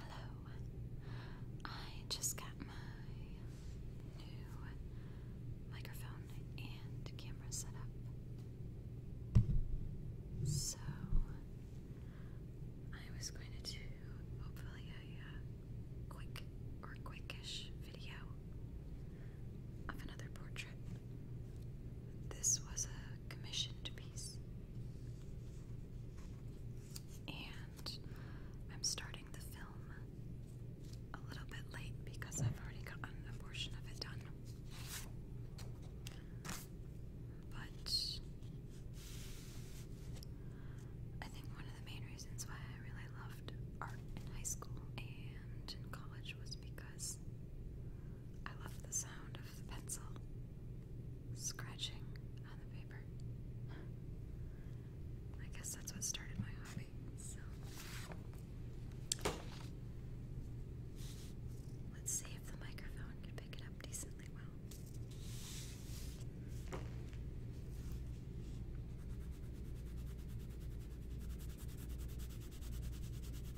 Hello, I just got my new microphone and camera set up. So, I was going to do hopefully a uh, quick or quickish video of another portrait. This was a commissioned piece and I'm starting the film a little bit late because I've already gotten a portion of it done. But I think one of the main reasons why I really loved art in high school and in college was because I loved the sound of pencil scratching on the paper. I guess that's what started my hobby. let's see if the microphone can pick it up decently well.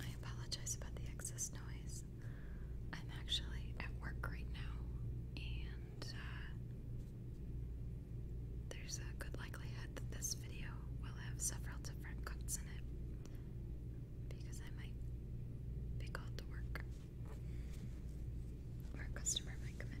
I apologize about the excess noise. I'm actually at work right now, and uh, there's a good likelihood that this video will have several different cuts in it because I might be called to work or a customer might come in.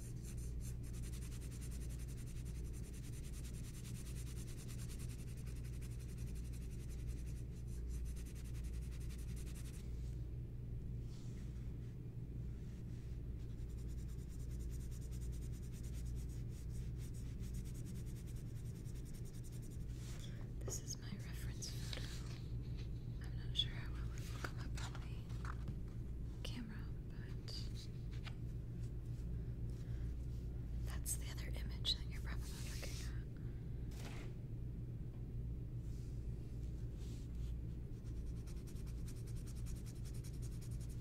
This is my reference photo. I'm not sure how well it will come up on the camera, but that's the other image that you're probably looking at.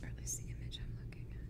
Or at least the image I'm looking at.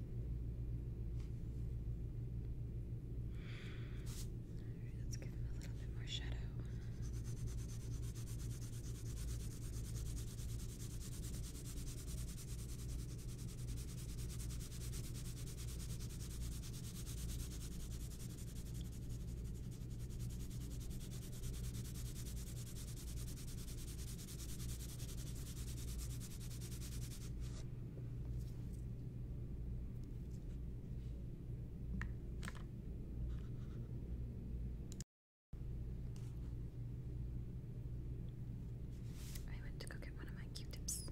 Alright, let's give him a little bit more shadow. Okay, I went to go get one of my Q-tips.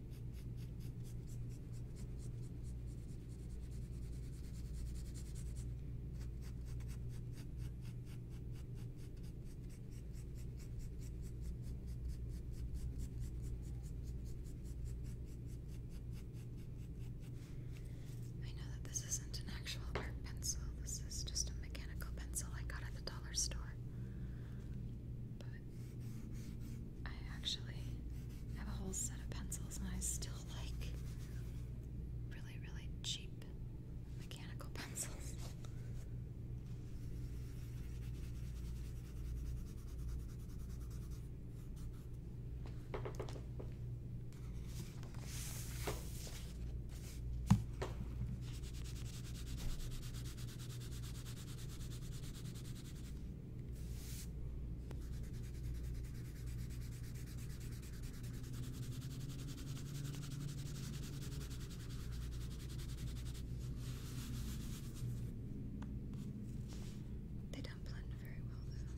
I know that this isn't an actual art pencil, this is just a mechanical pencil I got at the dollar store. I actually have a whole set of pencils and I still like really, really cheap mechanical pencils. They don't blend very well though.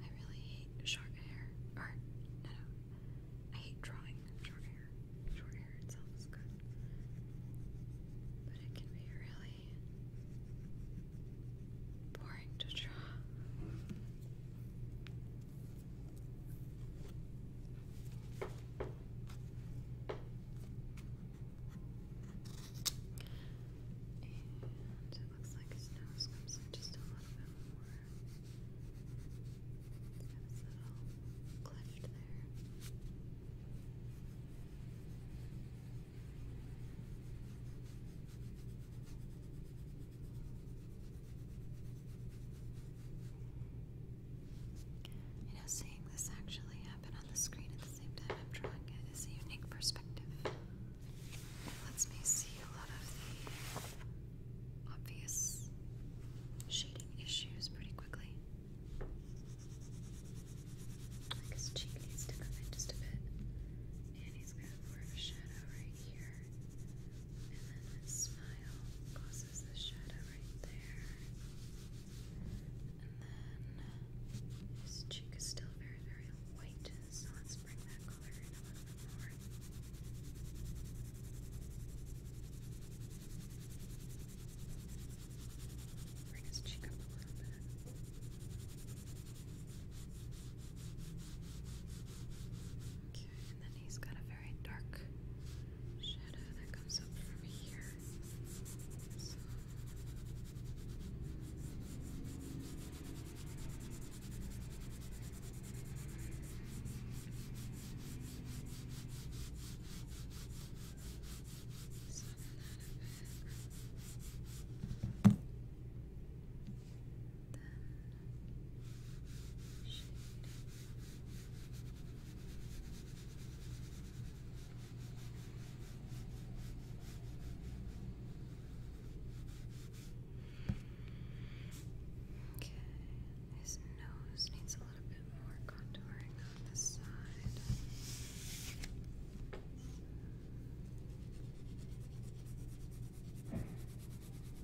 I really hate short hair. no. I hate drawing short hair. Short hair itself is good. But it can be really boring to draw. And it looks like his nose comes in just a little bit more. this little cleft there. You know, seeing this actually happen on the screen at the same time I'm drawing it is a unique perspective. It lets me see a lot of the obvious shading issues pretty quickly. Like his cheek needs to come in just a bit, and he's got more a shadow right here. And then his smile causes the shadow right there. And then his cheek is still very, very white, so let's bring that color in a little bit more. Bring his cheek up a little bit. Okay, and then he's got a very dark shadow that comes up from here. So. Okay, his nose needs a little bit more contouring on the side. Okay.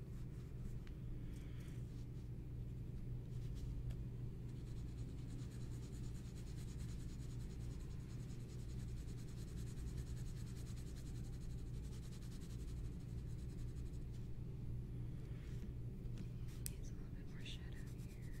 Needs a little bit more shadow here.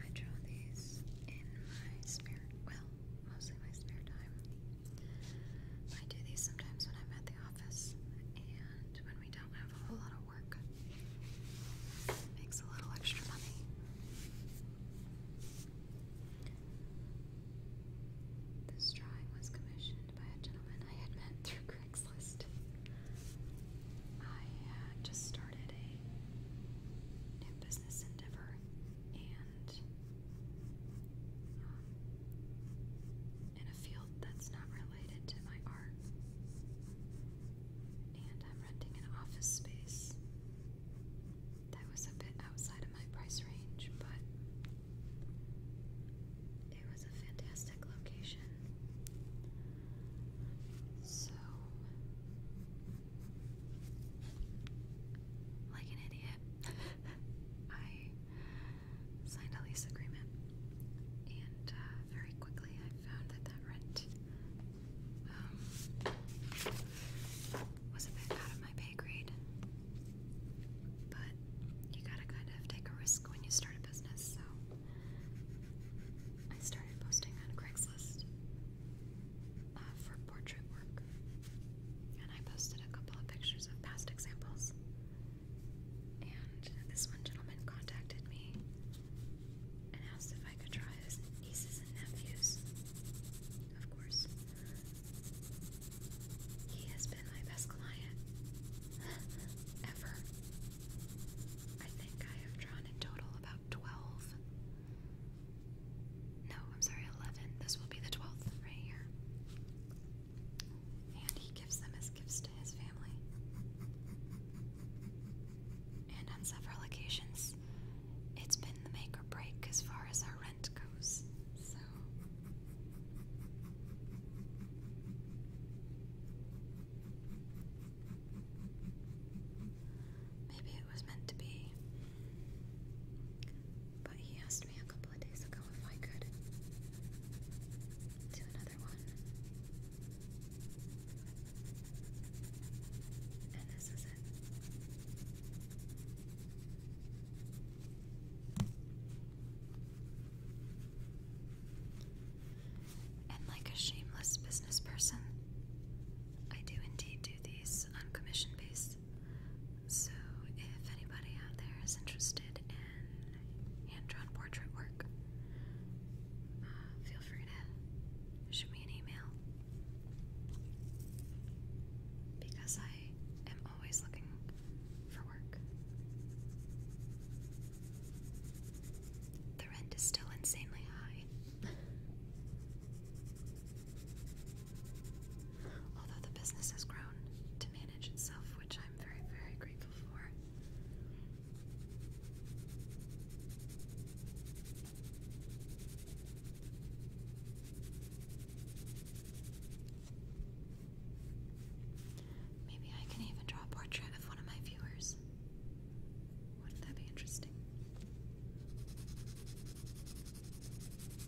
I draw these in my spare, well, mostly my spare time. I do these sometimes when I'm at the office and when we don't have a whole lot of work. Makes a little extra money. This drawing was commissioned by a gentleman I had met through Craigslist. I uh, just started a new business endeavor and um, in a field that's not related to my art. And I'm renting an office space that was a bit outside of my price range, but it was a fantastic location. So, like an idiot, I signed a lease agreement, and uh, very quickly I found that that rent um, was a bit out of my pay grade. But you gotta kind of take a risk when you start a business, so I started posting on Craigslist uh, for portrait work and I posted a couple of pictures of past examples. And this one gentleman contacted me and asked if I could try his nieces and nephews. Of course. He has been my best client ever. I think I have drawn in total about 12. No, I'm sorry, 11. This will be the 12th right here and he gives them as gifts to his family. And on several occasions, it's been the make or break as far as our rent goes. So. Maybe it was meant to be. But he asked me a couple of days ago if I could do another one. And this is it. And like a shameless business person, I do indeed do these on commission based. So, if anybody out there is interested in hand drawn portrait work, uh, feel free to shoot me an email because I am always looking for work. The rent is still insanely high. although the business has grown to manage itself, which I'm very, very grateful for. Maybe I can even draw a portrait of one of my viewers. Wouldn't that be interesting?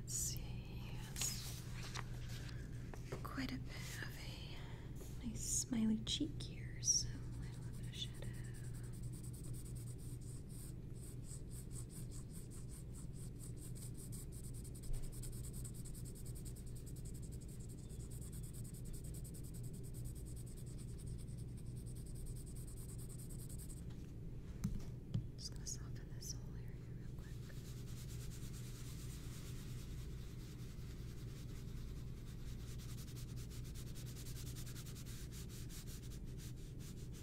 Let's see, Quite a bit of a nice smiley cheek here, so a little bit of shadow. I'm just going to soften this whole area real quick. Okay. And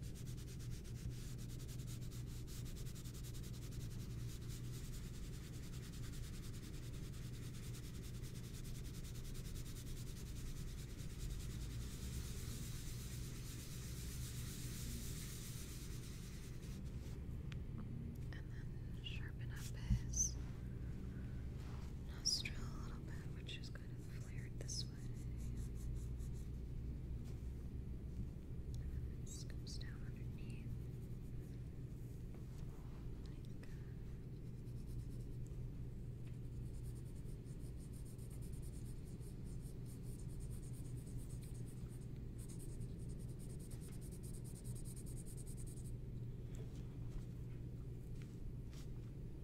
then sharpen up his nostril a little bit, which is going to flared this way. And this goes down underneath.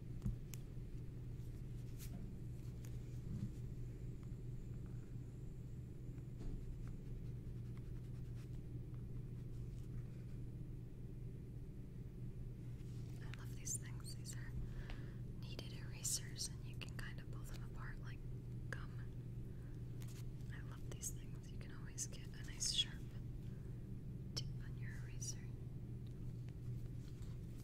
I love these things. These are kneaded erasers, and you can kind of pull them apart like gum. I love these things. You can always get a nice sharp tip on your eraser.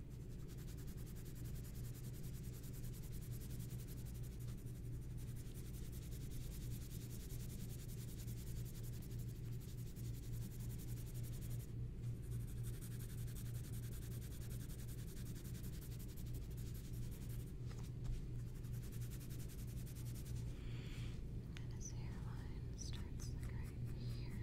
And his hairline starts like right here.